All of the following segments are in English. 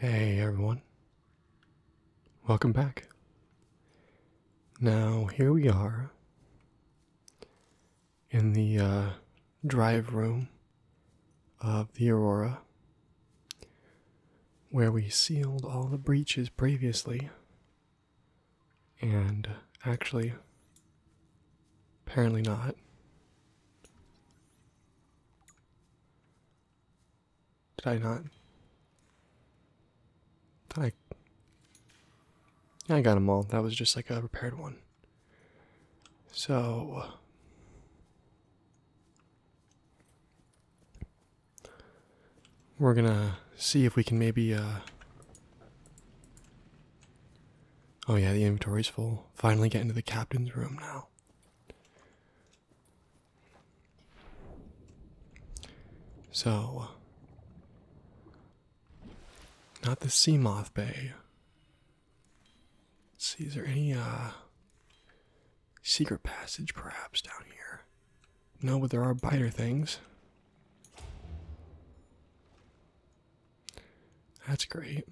Hey everyone, welcome back. Now, here we are in the uh, drive room of the Aurora where we sealed all the breaches previously and actually, apparently not. Did I not? Did I? I got them all. That was just like a repaired one. So. We're gonna see if we can maybe, uh, Oh, yeah, the inventory's full. Finally, get into the captain's room now. So, not the Sea Moth Bay. see, is there any uh, secret passage perhaps down here? No, but there are biter things. That's great.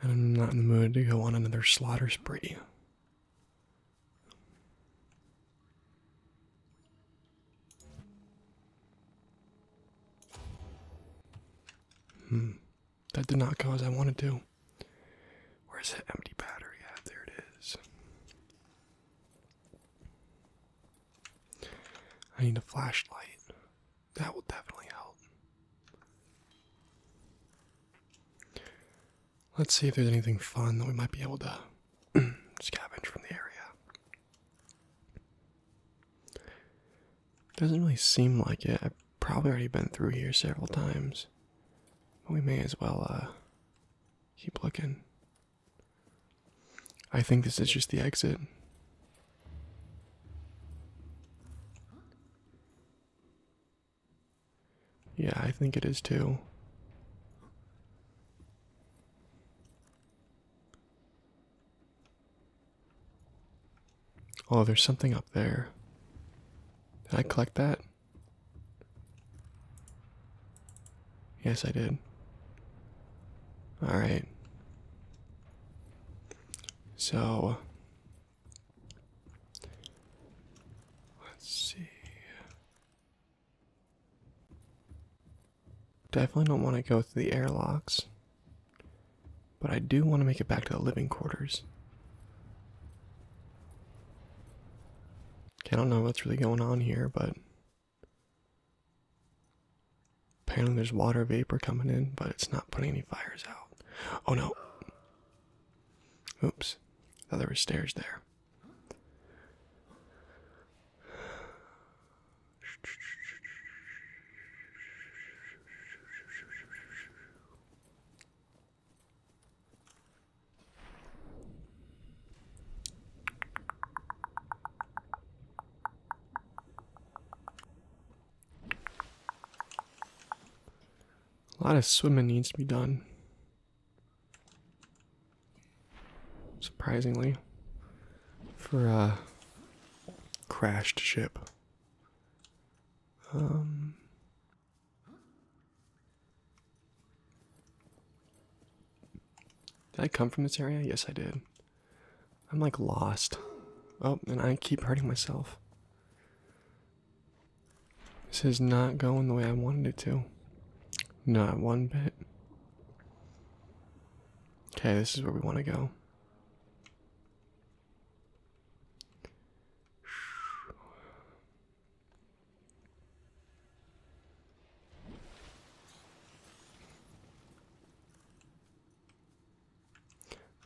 And I'm not in the mood to go on another slaughter spree. Hmm. That did not go as I wanted to. Where's the empty battery Yeah, There it is. I need a flashlight. That will definitely help. Let's see if there's anything fun that we might be able to scavenge from the area. Doesn't really seem like it. I've probably already been through here several times. We may as well uh, keep looking. I think this is just the exit. Yeah, I think it is too. Oh, there's something up there. Did I collect that? Yes, I did. Alright. So. Let's see. Definitely don't want to go through the airlocks. But I do want to make it back to the living quarters. I don't know what's really going on here, but apparently there's water vapor coming in, but it's not putting any fires out. Oh no. Oops. I thought there were stairs there. A lot of swimming needs to be done. Surprisingly, for a uh, crashed ship. Um, did I come from this area? Yes, I did. I'm like lost. Oh, and I keep hurting myself. This is not going the way I wanted it to. Not one bit. Okay, this is where we want to go.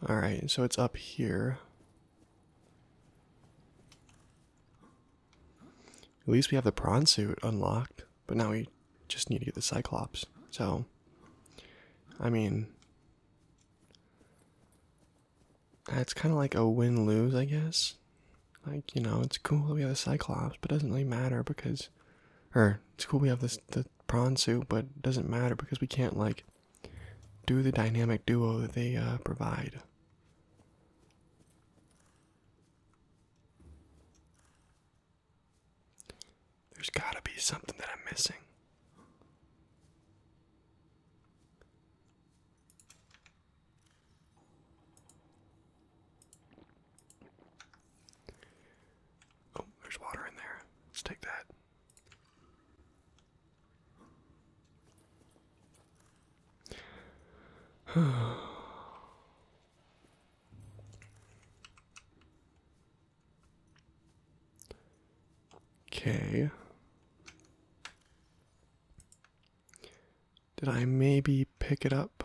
All right, so it's up here. At least we have the prawn suit unlocked, but now we just need to get the Cyclops. So, I mean, uh, it's kind of like a win lose, I guess. Like, you know, it's cool we have the Cyclops, but it doesn't really matter because. Or, it's cool we have this the prawn suit, but it doesn't matter because we can't, like, do the dynamic duo that they uh, provide. There's gotta be something that I'm missing. Oh, there's water in there. Let's take that. okay. Did I maybe pick it up?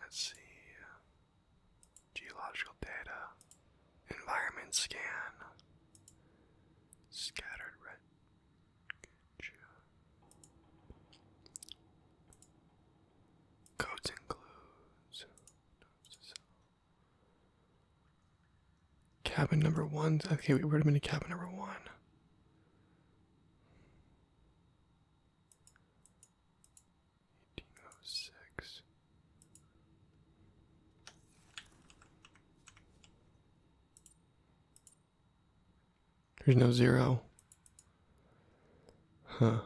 Let's see. Geological data. Environment scan. Scattered red. Codes and clues. Cabin number one. Okay, we would have been in cabin number one. Eighteen oh six. There's no zero. Huh.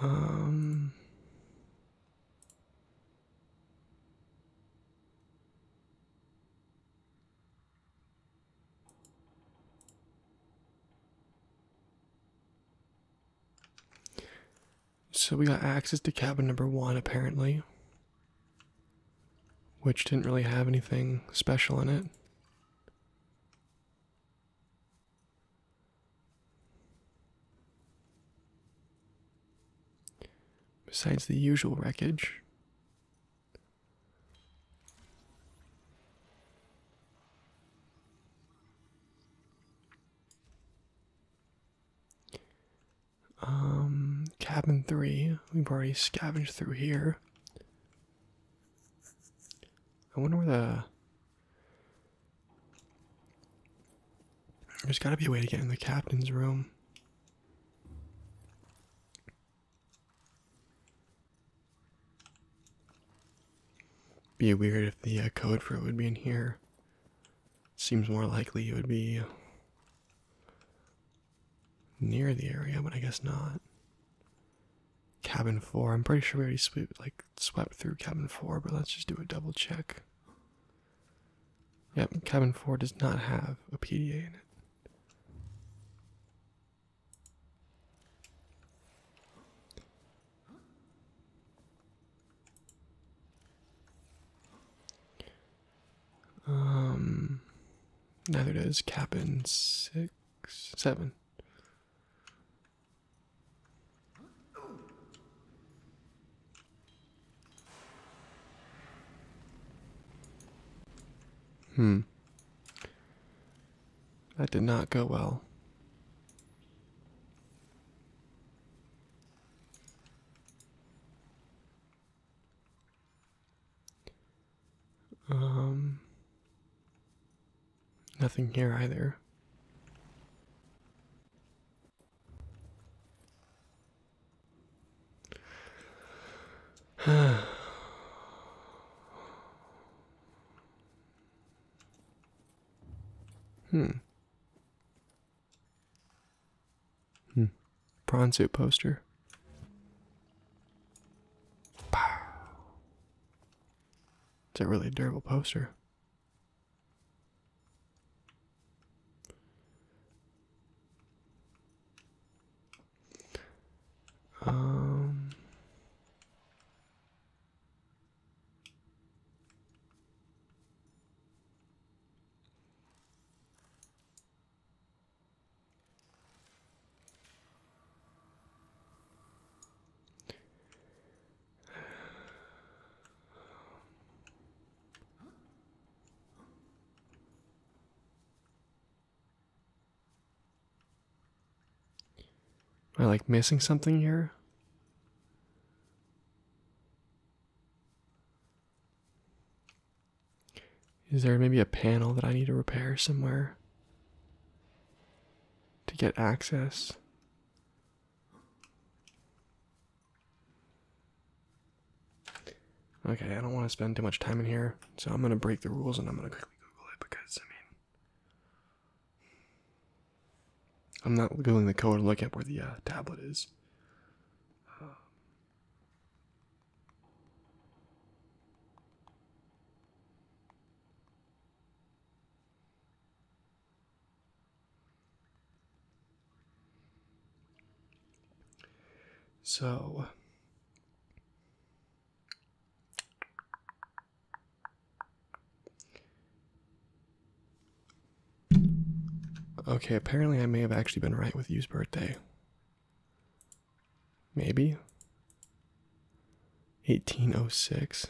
Um. So we got access to cabin number one, apparently, which didn't really have anything special in it. Besides the usual wreckage, um, cabin three, we've already scavenged through here. I wonder where the. There's gotta be a way to get in the captain's room. Be weird if the uh, code for it would be in here. Seems more likely it would be near the area, but I guess not. Cabin four. I'm pretty sure we already swept like swept through cabin four, but let's just do a double check. Yep, cabin four does not have a PDA in it. Um, neither does cabin six seven. Hmm. That did not go well. Um, nothing here either. hmm. Hmm. Pranzu poster. Pow. It's a really durable poster. Um Am I like missing something here? Is there maybe a panel that I need to repair somewhere to get access? Okay, I don't want to spend too much time in here, so I'm going to break the rules and I'm going to quickly Google it because, I mean, I'm not Googling the code and looking up where the uh, tablet is. Um, so Okay, apparently I may have actually been right with you's birthday. Maybe. 1806.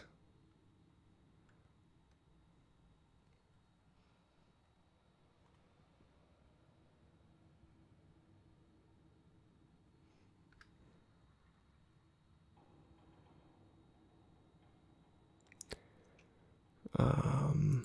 Um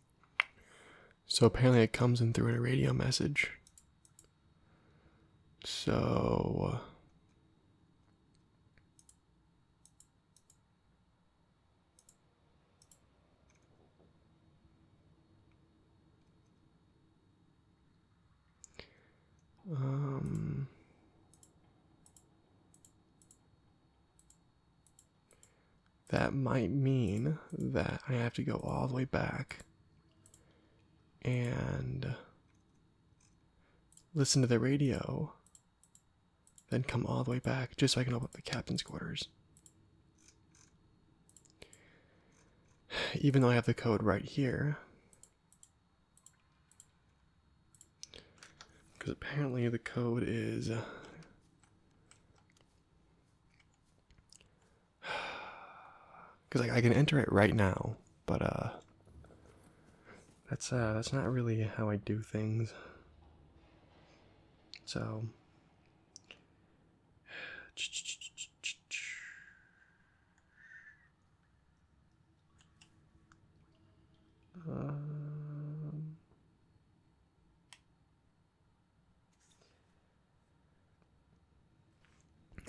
So apparently it comes in through a radio message. So uh, um that might mean that I have to go all the way back and listen to the radio, then come all the way back just so I can open up the captain's quarters. Even though I have the code right here. Because apparently the code is because I can enter it right now, but uh, that's uh, that's not really how I do things. So. Um,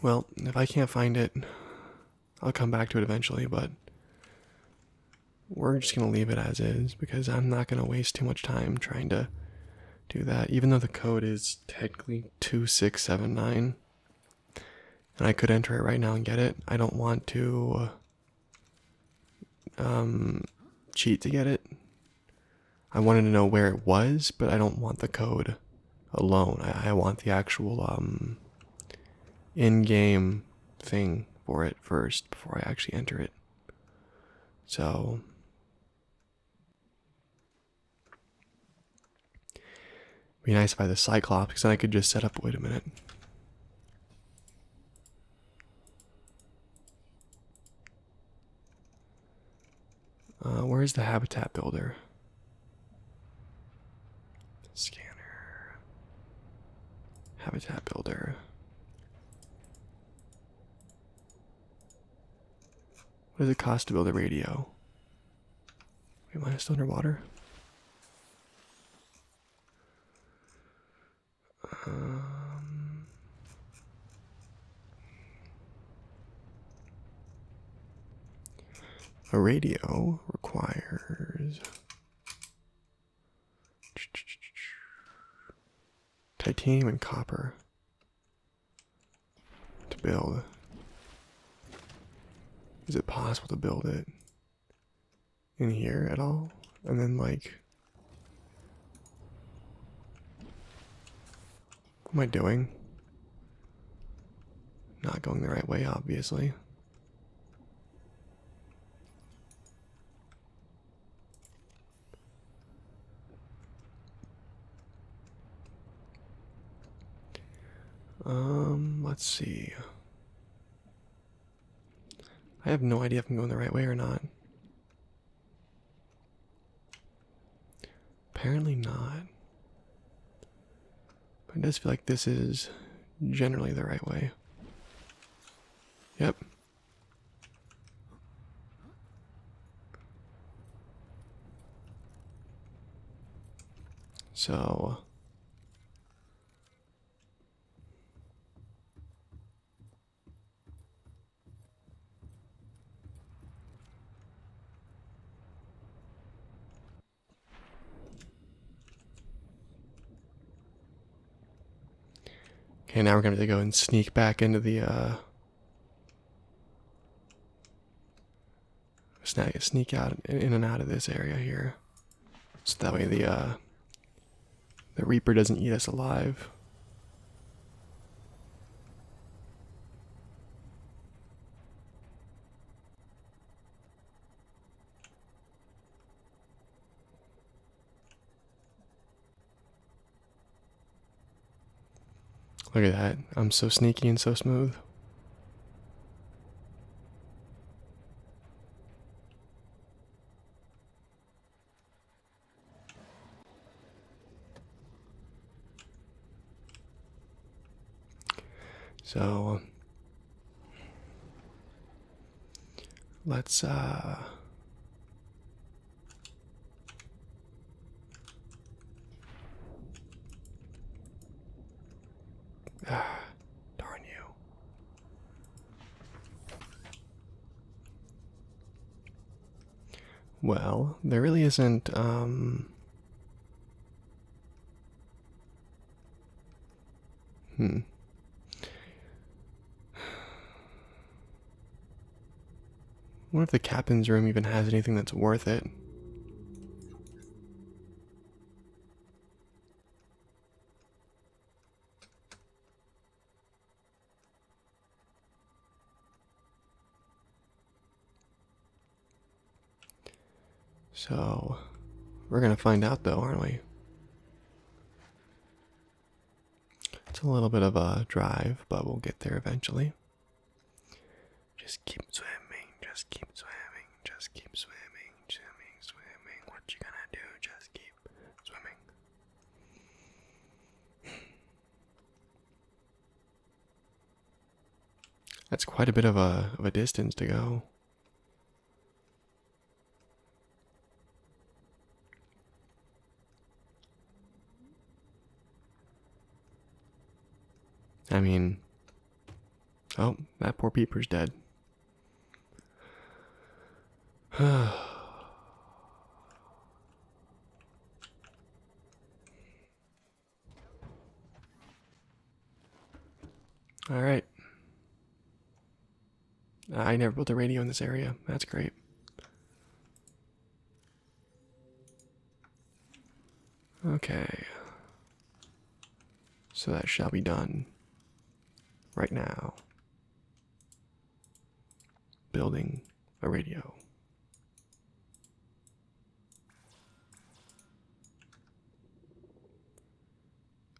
well, if I can't find it, I'll come back to it eventually, but we're just going to leave it as is because I'm not going to waste too much time trying to do that, even though the code is technically 2679. And I could enter it right now and get it. I don't want to um, cheat to get it I wanted to know where it was, but I don't want the code alone. I, want the actual um, in-game thing for it first before I actually enter it. So be nice if I had the Cyclops, because then I could just set up. Wait a minute. Uh, where is the habitat builder? Scanner. Habitat builder. What does it cost to build a radio? Wait, mine is still underwater. Um, a radio requires titanium and copper to build. Is it possible to build it in here at all? And then, like, what am I doing? Not going the right way, obviously. Um, let's see. I have no idea if I'm going the right way or not. Apparently not. But it does feel like this is generally the right way. Yep. So. Okay, now we're going to go and sneak back into the, uh... Sneak out in and out of this area here. So that way the, uh... The Reaper doesn't eat us alive. Look at that. I'm so sneaky and so smooth. So let's uh Ah, darn you. Well, there really isn't, um, Hmm. I wonder if the captain's room even has anything that's worth it. So, we're going to find out though, aren't we? It's a little bit of a drive, but we'll get there eventually. Just keep swimming, just keep swimming, just keep swimming, swimming, swimming. What you gonna do? Just keep swimming. That's quite a bit of a of a distance to go. I mean, oh, that poor peeper's dead. All right. I never built a radio in this area. That's great. Okay. So that shall be done right now building a radio.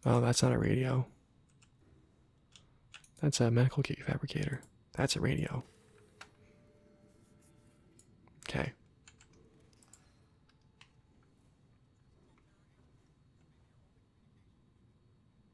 Oh, that's not a radio. That's a medical kit fabricator. That's a radio. Okay.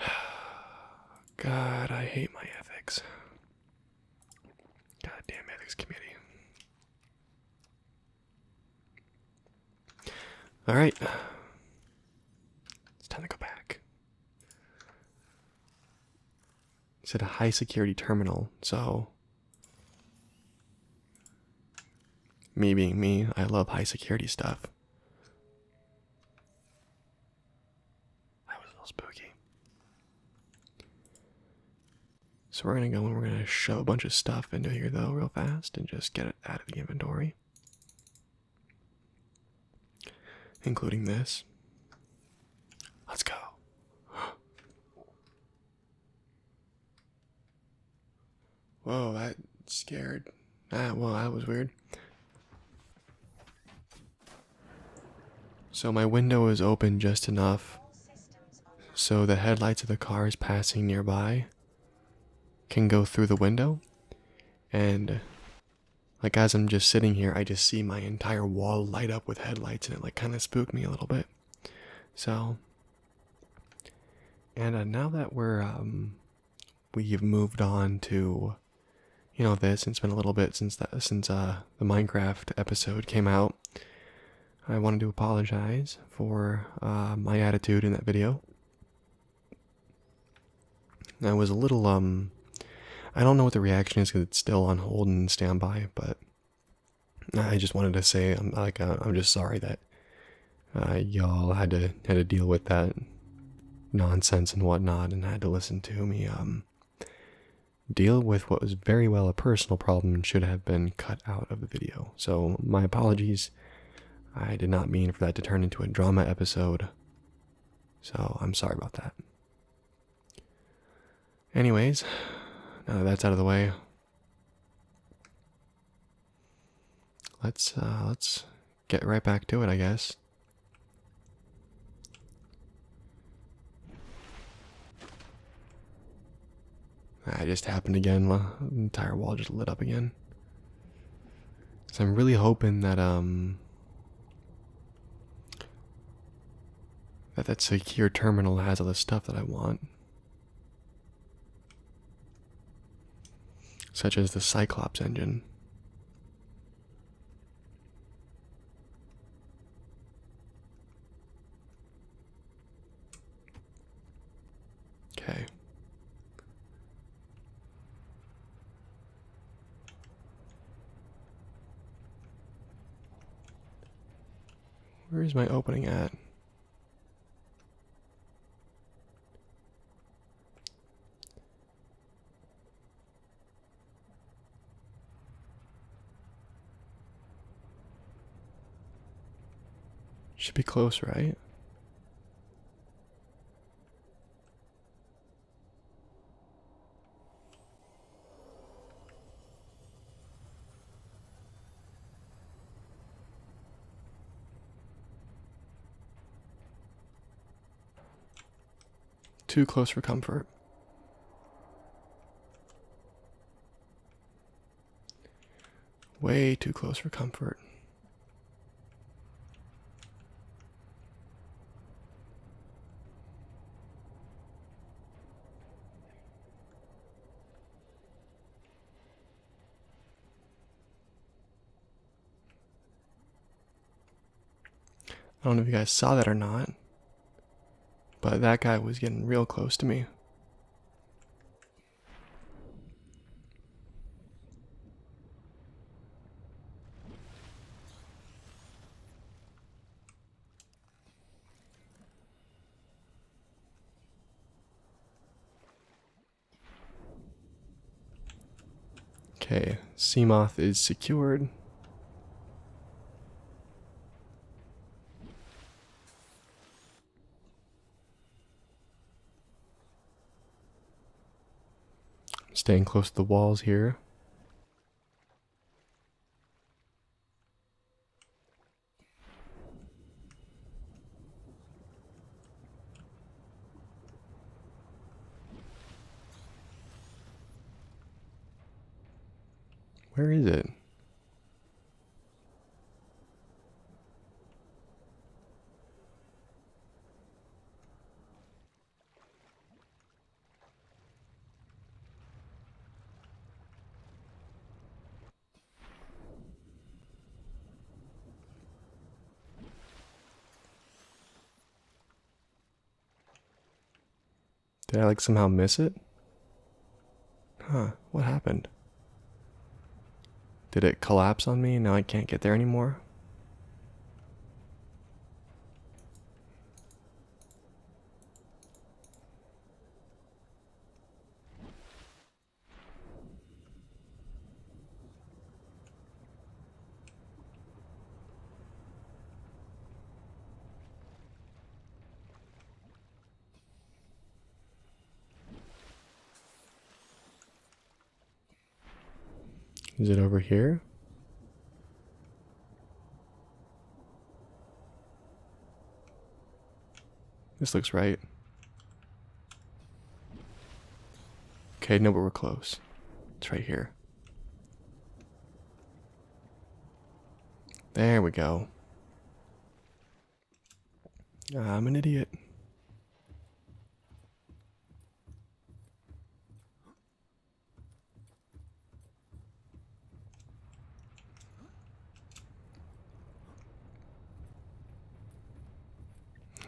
God, I hate my ethics. Goddamn ethics committee. All right. It's time to go back. It's at a high security terminal, so me being me, I love high security stuff. That was a little spooky. So we're gonna go and we're gonna shove a bunch of stuff into here though, real fast, and just get it out of the inventory. Including this. Let's go. Whoa, that scared. Ah, well, that was weird. So my window is open just enough so the headlights of the cars passing nearby can go through the window. And like as I'm just sitting here, I just see my entire wall light up with headlights and it like kind of spooked me a little bit. So and uh, now that we're um, we've moved on to you know this, it's been a little bit since since uh, the Minecraft episode came out. I wanted to apologize for uh, my attitude in that video. I was a little um, I don't know what the reaction is because it's still on hold and standby, but I just wanted to say I'm like I'm just sorry that uh, y'all had to had to deal with that nonsense and whatnot, and had to listen to me um, deal with what was very well a personal problem should have been cut out of the video. So my apologies. I did not mean for that to turn into a drama episode. So I'm sorry about that. Anyways, now that that's out of the way, Let's uh, let's get right back to it, I guess. That ah, just happened again. The entire wall just lit up again. So I'm really hoping that um that that secure terminal has all the stuff that I want such as the Cyclops engine. Okay. Where is my opening at? Should be close, right? Too close for comfort. Way too close for comfort. I don't know if you guys saw that or not, but that guy was getting real close to me. Okay, Seamoth is secured. Staying close to the walls here. Where is it? Did I like somehow miss it? Huh, what happened? Did it collapse on me now I can't get there anymore? Is it over here? This looks right. Okay, no, but we're close. It's right here. There we go. I'm an idiot.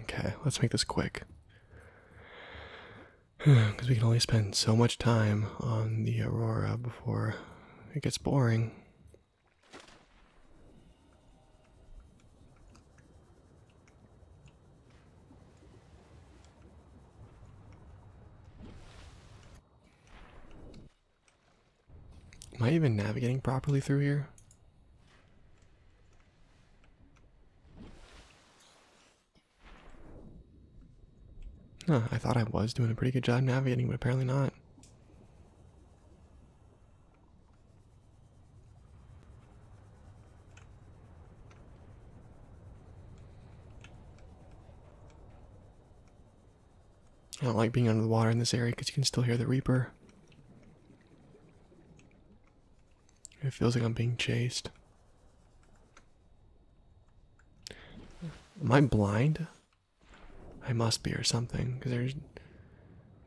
Okay, let's make this quick. Because we can only spend so much time on the Aurora before it gets boring. Am I even navigating properly through here? Huh, I thought I was doing a pretty good job navigating, but apparently not. I don't like being under the water in this area because you can still hear the Reaper. It feels like I'm being chased. Am I blind? I must be or something because there's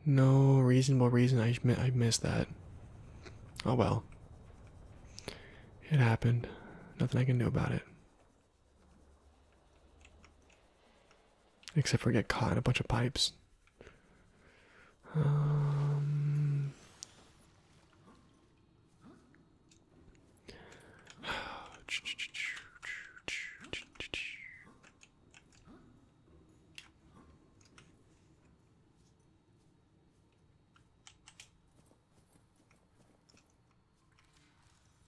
no reasonable reason I, I missed that. Oh well. It happened. Nothing I can do about it. Except for get caught in a bunch of pipes. Um,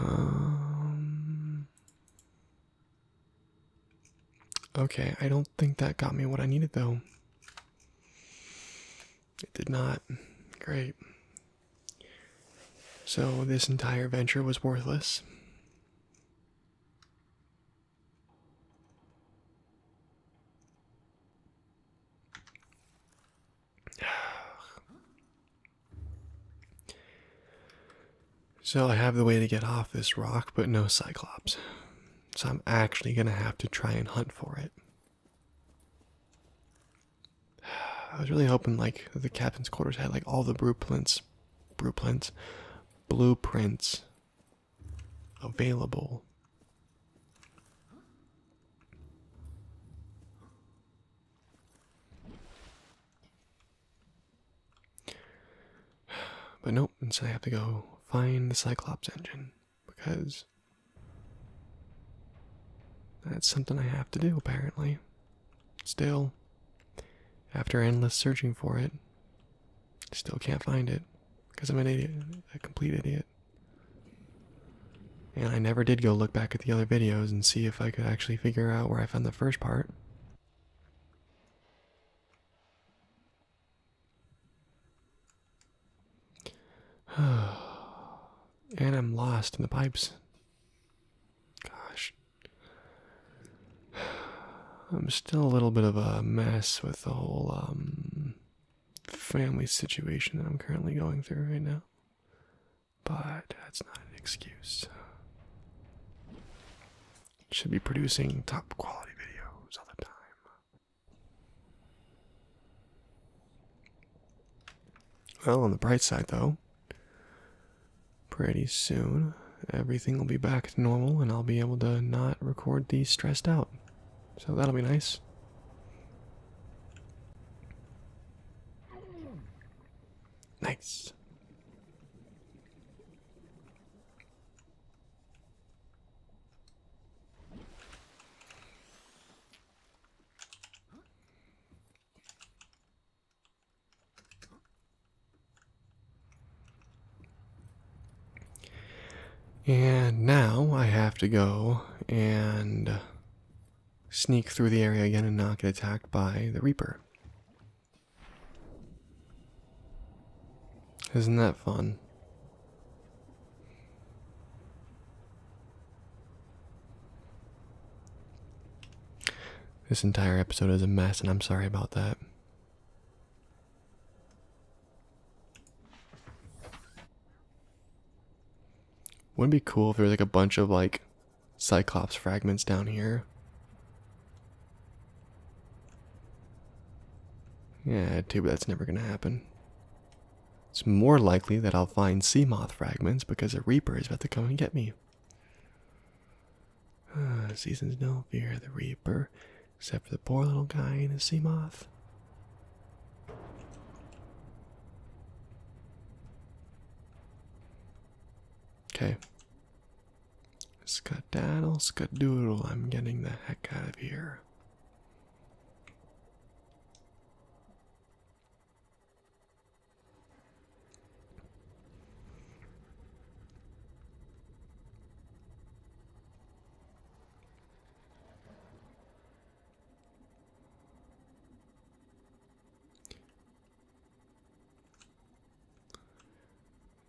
Um, okay, I don't think that got me what I needed though. It did not. Great. So, this entire venture was worthless. So, I have the way to get off this rock, but no Cyclops. So, I'm actually going to have to try and hunt for it. I was really hoping like the captain's quarters had like all the blueprints, blueprints, blueprints available. But nope, instead I have to go find the Cyclops engine because that's something I have to do apparently. Still, after endless searching for it, still can't find it because I'm an idiot, a complete idiot. And I never did go look back at the other videos and see if I could actually figure out where I found the first part. and I'm lost in the pipes. Gosh. I'm still a little bit of a mess with the whole um, family situation that I'm currently going through right now. But that's not an excuse. Should be producing top quality videos all the time. Well, on the bright side, though, Pretty soon, everything will be back to normal and I'll be able to not record these stressed out. So that'll be nice. Nice. And now I have to go and sneak through the area again and not get attacked by the Reaper. Isn't that fun? This entire episode is a mess, and I'm sorry about that. Wouldn't be cool if there was like a bunch of like Cyclops fragments down here? Yeah, too, but that's never gonna happen. It's more likely that I'll find sea moth fragments because a reaper is about to come and get me. seasons don't fear the reaper, except for the poor little guy in his sea moth. Okay. Scudaddle, scudoodle, I'm getting the heck out of here.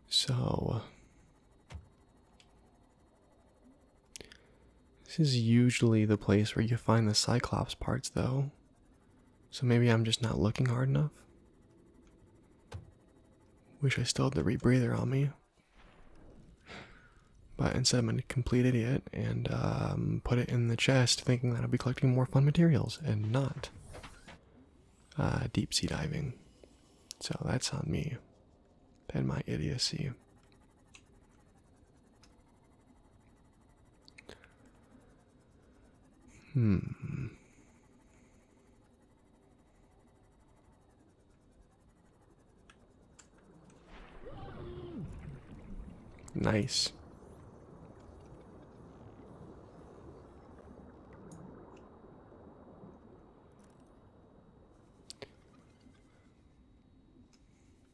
So, uh, this is usually the place where you find the Cyclops parts, though. So maybe I'm just not looking hard enough. Wish I still had the rebreather on me. But instead, I'm a complete idiot and um, put it in the chest, thinking that I'll be collecting more fun materials and not uh, deep sea diving. So that's on me and my idiocy. Hmm. Nice.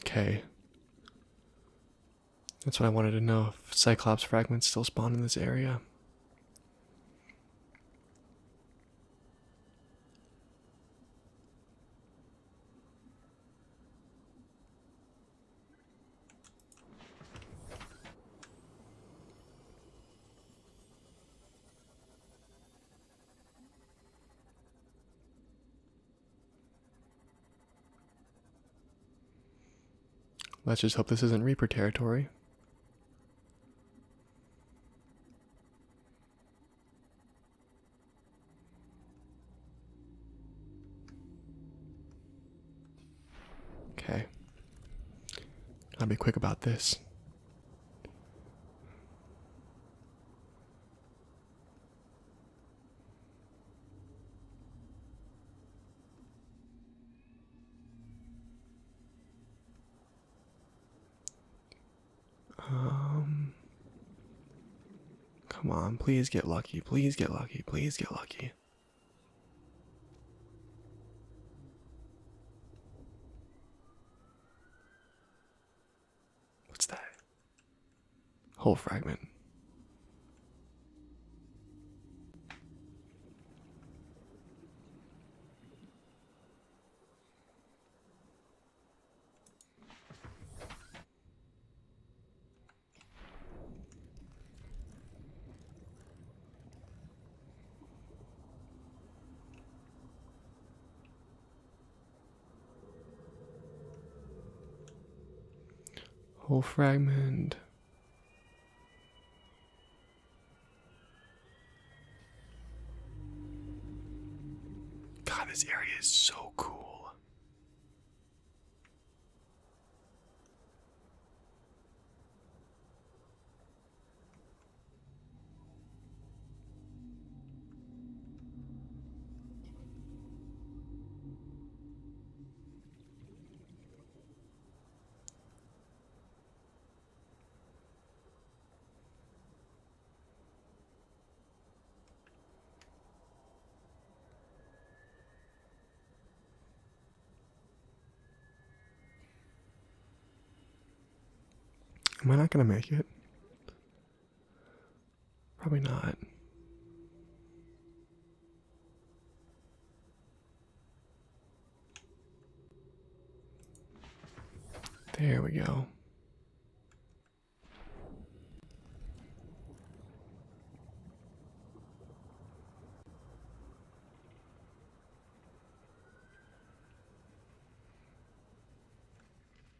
Okay. That's what I wanted to know if Cyclops fragments still spawn in this area. Let's just hope this isn't Reaper territory. Okay. I'll be quick about this. Um Come on, please get lucky. Please get lucky. Please get lucky. What's that? Whole fragment. Whole fragment. God, this area is so cool. Am I not going to make it? Probably not. There we go.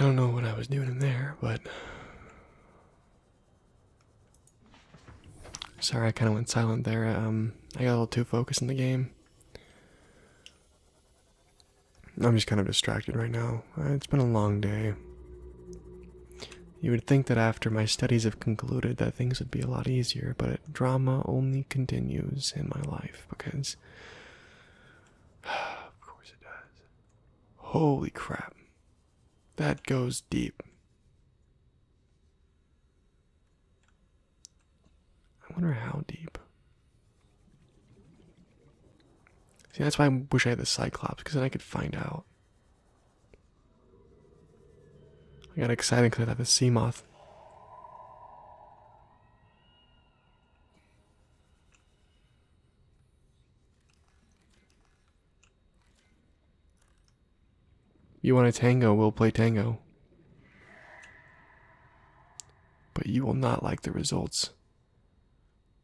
I don't know what I was doing in there, but sorry, I kind of went silent there. Um, I got a little too focused in the game. I'm just kind of distracted right now. Uh, it's been a long day. You would think that after my studies have concluded that things would be a lot easier, but drama only continues in my life because of course it does. Holy crap. That goes deep. I wonder how deep. See, that's why I wish I had the Cyclops, because then I could find out. I got excited because I have a sea moth. You want a tango, we'll play tango. But you will not like the results.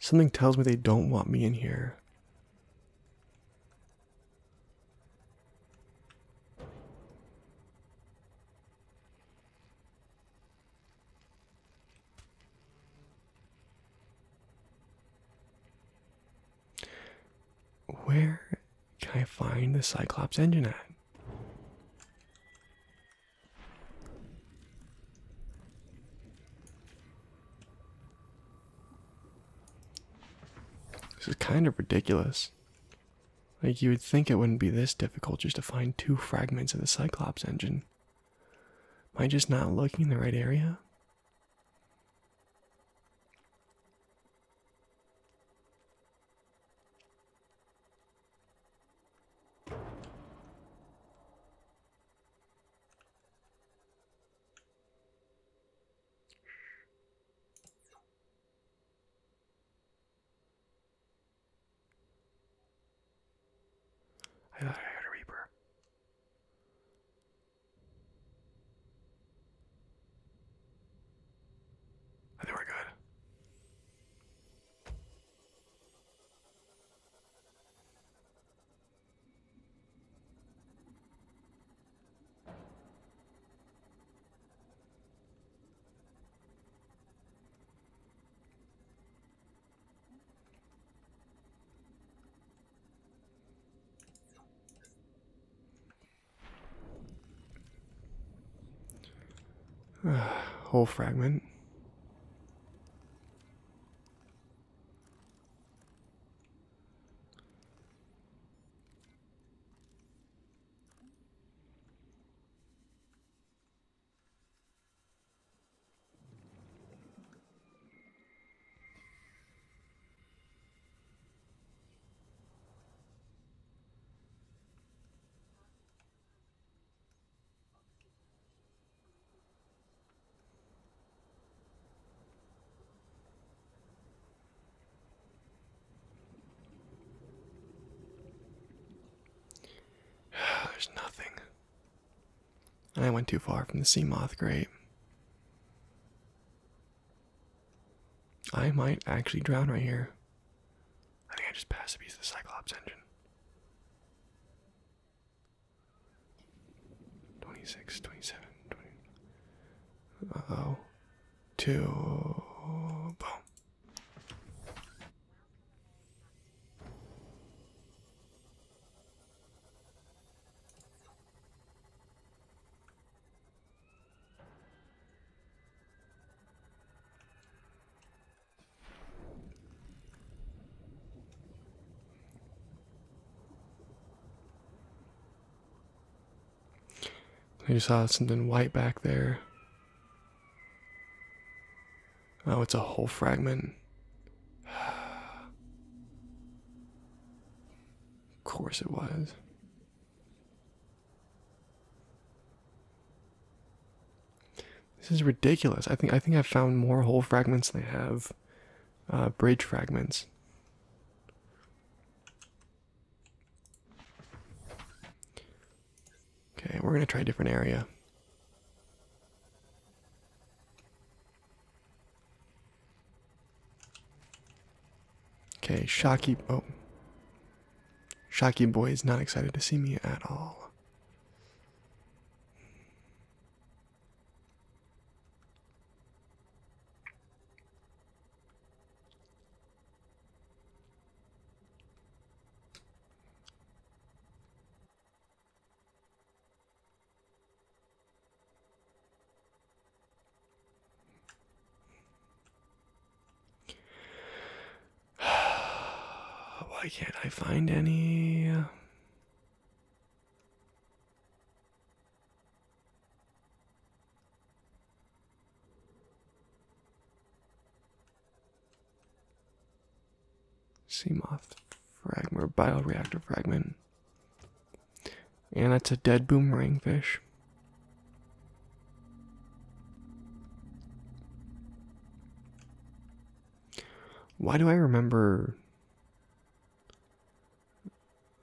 Something tells me they don't want me in here. Where can I find the Cyclops engine at? This is kind of ridiculous. Like, you would think it wouldn't be this difficult just to find two fragments of the Cyclops engine. Am I just not looking in the right area? I thought I heard a reaper. I think we're good. whole fragment. There's nothing. And I went too far from the sea moth grate. I might actually drown right here. I think I just passed a piece the Cyclops engine. 26, 27, 20. Uh oh. Two. Boom. I just saw something white back there. Oh, it's a whole fragment. of course it was. This is ridiculous. I think I think I've found more whole fragments than I have uh, bridge fragments. Okay, we're gonna try a different area. Okay, Shocky. Oh. Shocky Boy is not excited to see me at all. Why can't I find any? Uh, Seamoth fragment, bioreactor fragment. And that's a dead boomerang fish. Why do I remember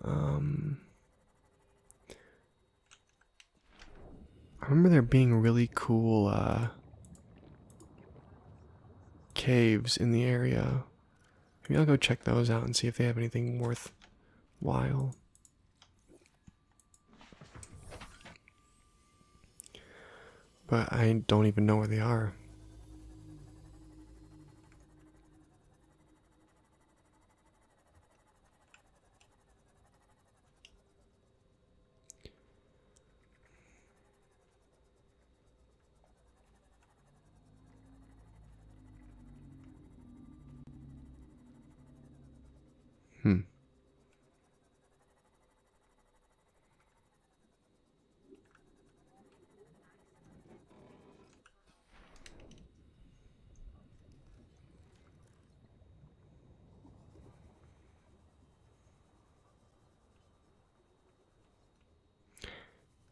um I remember there being really cool uh, caves in the area. Maybe I'll go check those out and see if they have anything worthwhile. But I don't even know where they are. Hmm.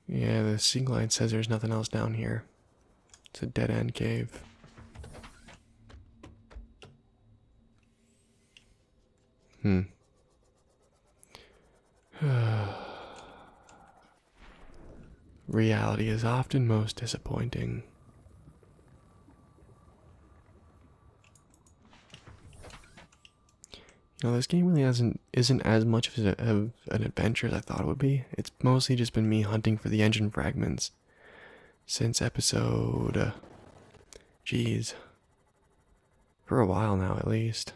Yeah, the sea glide says there's nothing else down here. It's a dead end cave. Hmm. Reality is often most disappointing. You know, this game really hasn't isn't as much of an adventure as I thought it would be. It's mostly just been me hunting for the engine fragments since episode. Uh, geez. For a while now, at least.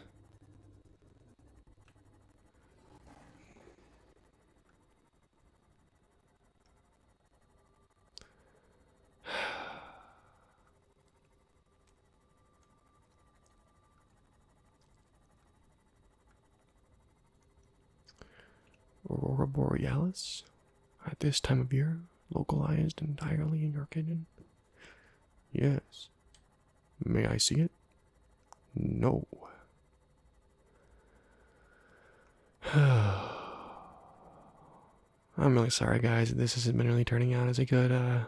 Aurora Borealis, at this time of year, localized entirely in your kitchen? Yes. May I see it? No. I'm really sorry, guys. This is not turning out as a good, uh,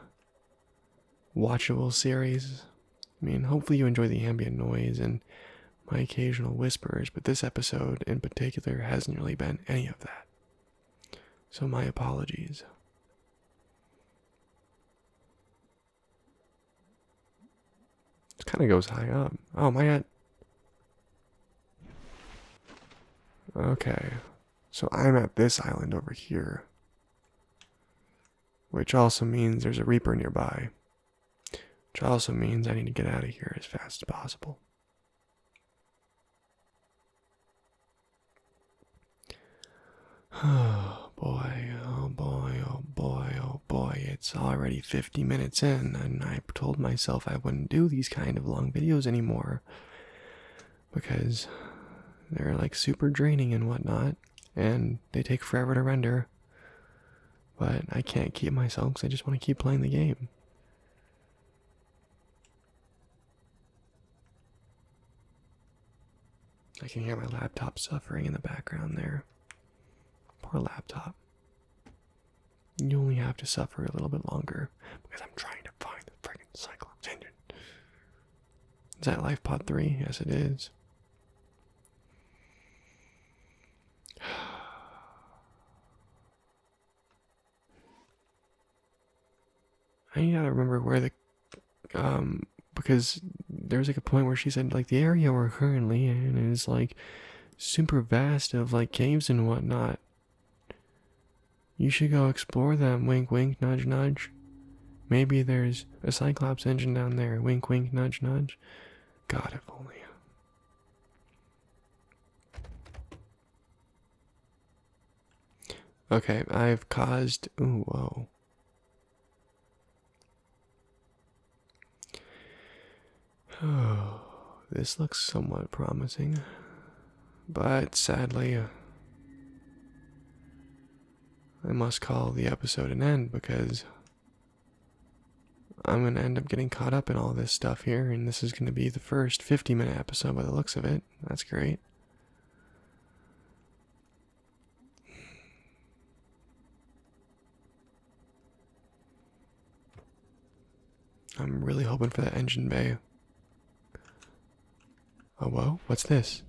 watchable series. I mean, hopefully you enjoy the ambient noise and my occasional whispers, but this episode in particular hasn't really been any of that. So, my apologies. It kind of goes high up. Oh my god. Okay. So, I'm at this island over here. Which also means there's a Reaper nearby. Which also means I need to get out of here as fast as possible. Oh boy, oh boy, oh boy, oh boy, it's already 50 minutes in, and I told myself I wouldn't do these kind of long videos anymore because they're like super draining and whatnot, and they take forever to render. But I can't keep myself because I just want to keep playing the game. I can hear my laptop suffering in the background there. Poor laptop. You only have to suffer a little bit longer because I'm trying to find the friggin' Cyclops engine. Is that LifePod 3? Yes, it is. I gotta remember where the um because there was like a point where she said like the area we're currently in is like super vast of like caves and whatnot. You should go explore them, wink wink, nudge nudge. Maybe there's a Cyclops engine down there, wink wink, nudge nudge. God, if only. Okay, I've caused. Ooh, whoa. Oh, this looks somewhat promising, but sadly, I must call the episode an end because I'm going to end up getting caught up in all this stuff here, and this is going to be the first 50 minute episode by the looks of it. That's great. I'm really hoping for that engine bay. Oh, whoa, what's this?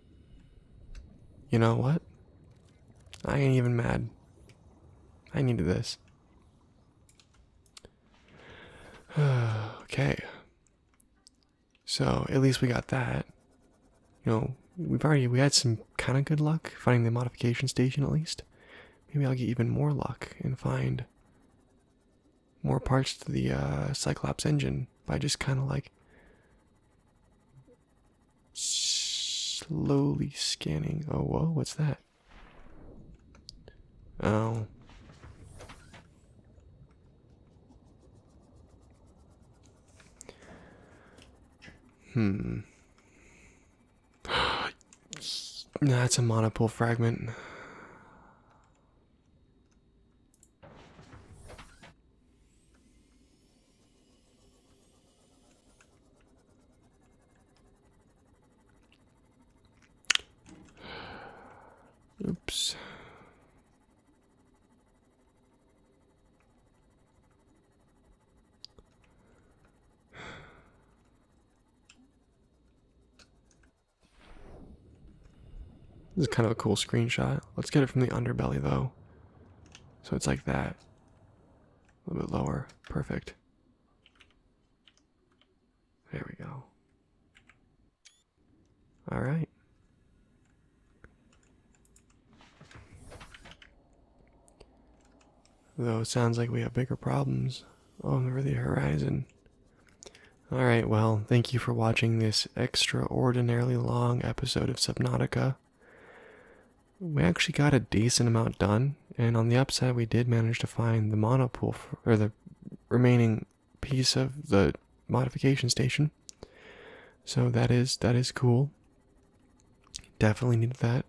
You know what? I ain't even mad. I needed this. okay. So at least we got that. You know, we've already we had some kind of good luck finding the modification station at least. Maybe I'll get even more luck and find more parts to the uh, Cyclops engine by just kind of like slowly scanning. Oh, whoa, what's that? Oh. Hmm. That's a monopole fragment. Oops. This is kind of a cool screenshot. Let's get it from the underbelly though. So it's like that. A little bit lower. Perfect. There we go. All right. Though it sounds like we have bigger problems over the horizon. Alright, well, thank you for watching this extraordinarily long episode of Subnautica. We actually got a decent amount done, and on the upside, we did manage to find the monopool for, or the remaining piece of the modification station. So that is that is cool. Definitely needed that.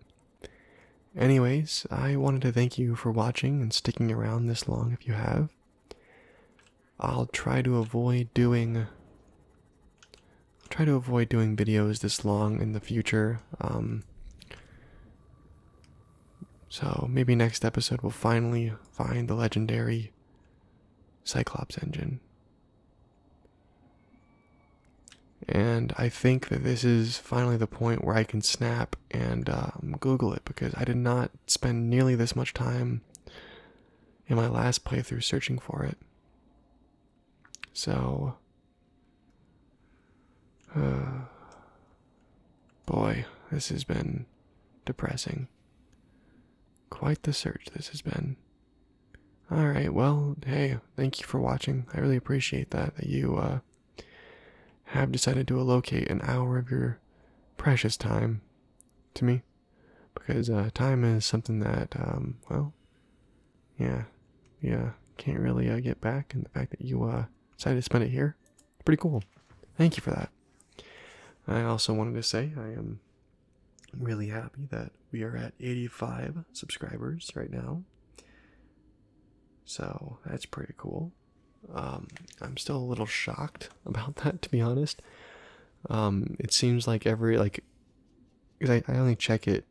Anyways, I wanted to thank you for watching and sticking around this long if you have. I'll try to avoid doing I'll try to avoid doing videos this long in the future. Um, so maybe next episode we'll finally find the legendary Cyclops engine. And I think that this is finally the point where I can snap and um, Google it because I did not spend nearly this much time in my last playthrough searching for it. So boy, this has been depressing. Quite the search this has been. Alright, well, hey, thank you for watching. I really appreciate that, that you uh, have decided to allocate an hour of your precious time to me. Because uh, time is something that, um, well, yeah, yeah, can't really uh, get back. And the fact that you uh, decided to spend it here, pretty cool. Thank you for that. I also wanted to say I am really happy that we are at 85 subscribers right now. So that's pretty cool. Um, I'm still a little shocked about that, to be honest. Um, it seems like every like, because I, I only check it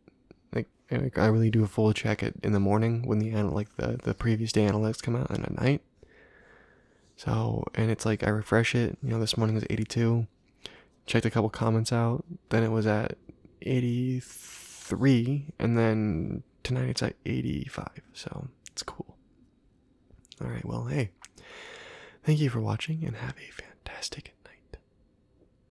like I really do a full check it in the morning when the anal like the the previous day analytics come out and at night. So and it's like I refresh it. You know, this morning was 82. Checked a couple comments out. Then it was at 83, and then tonight it's at 85. So it's cool. All right. Well, hey, thank you for watching, and have a fantastic night.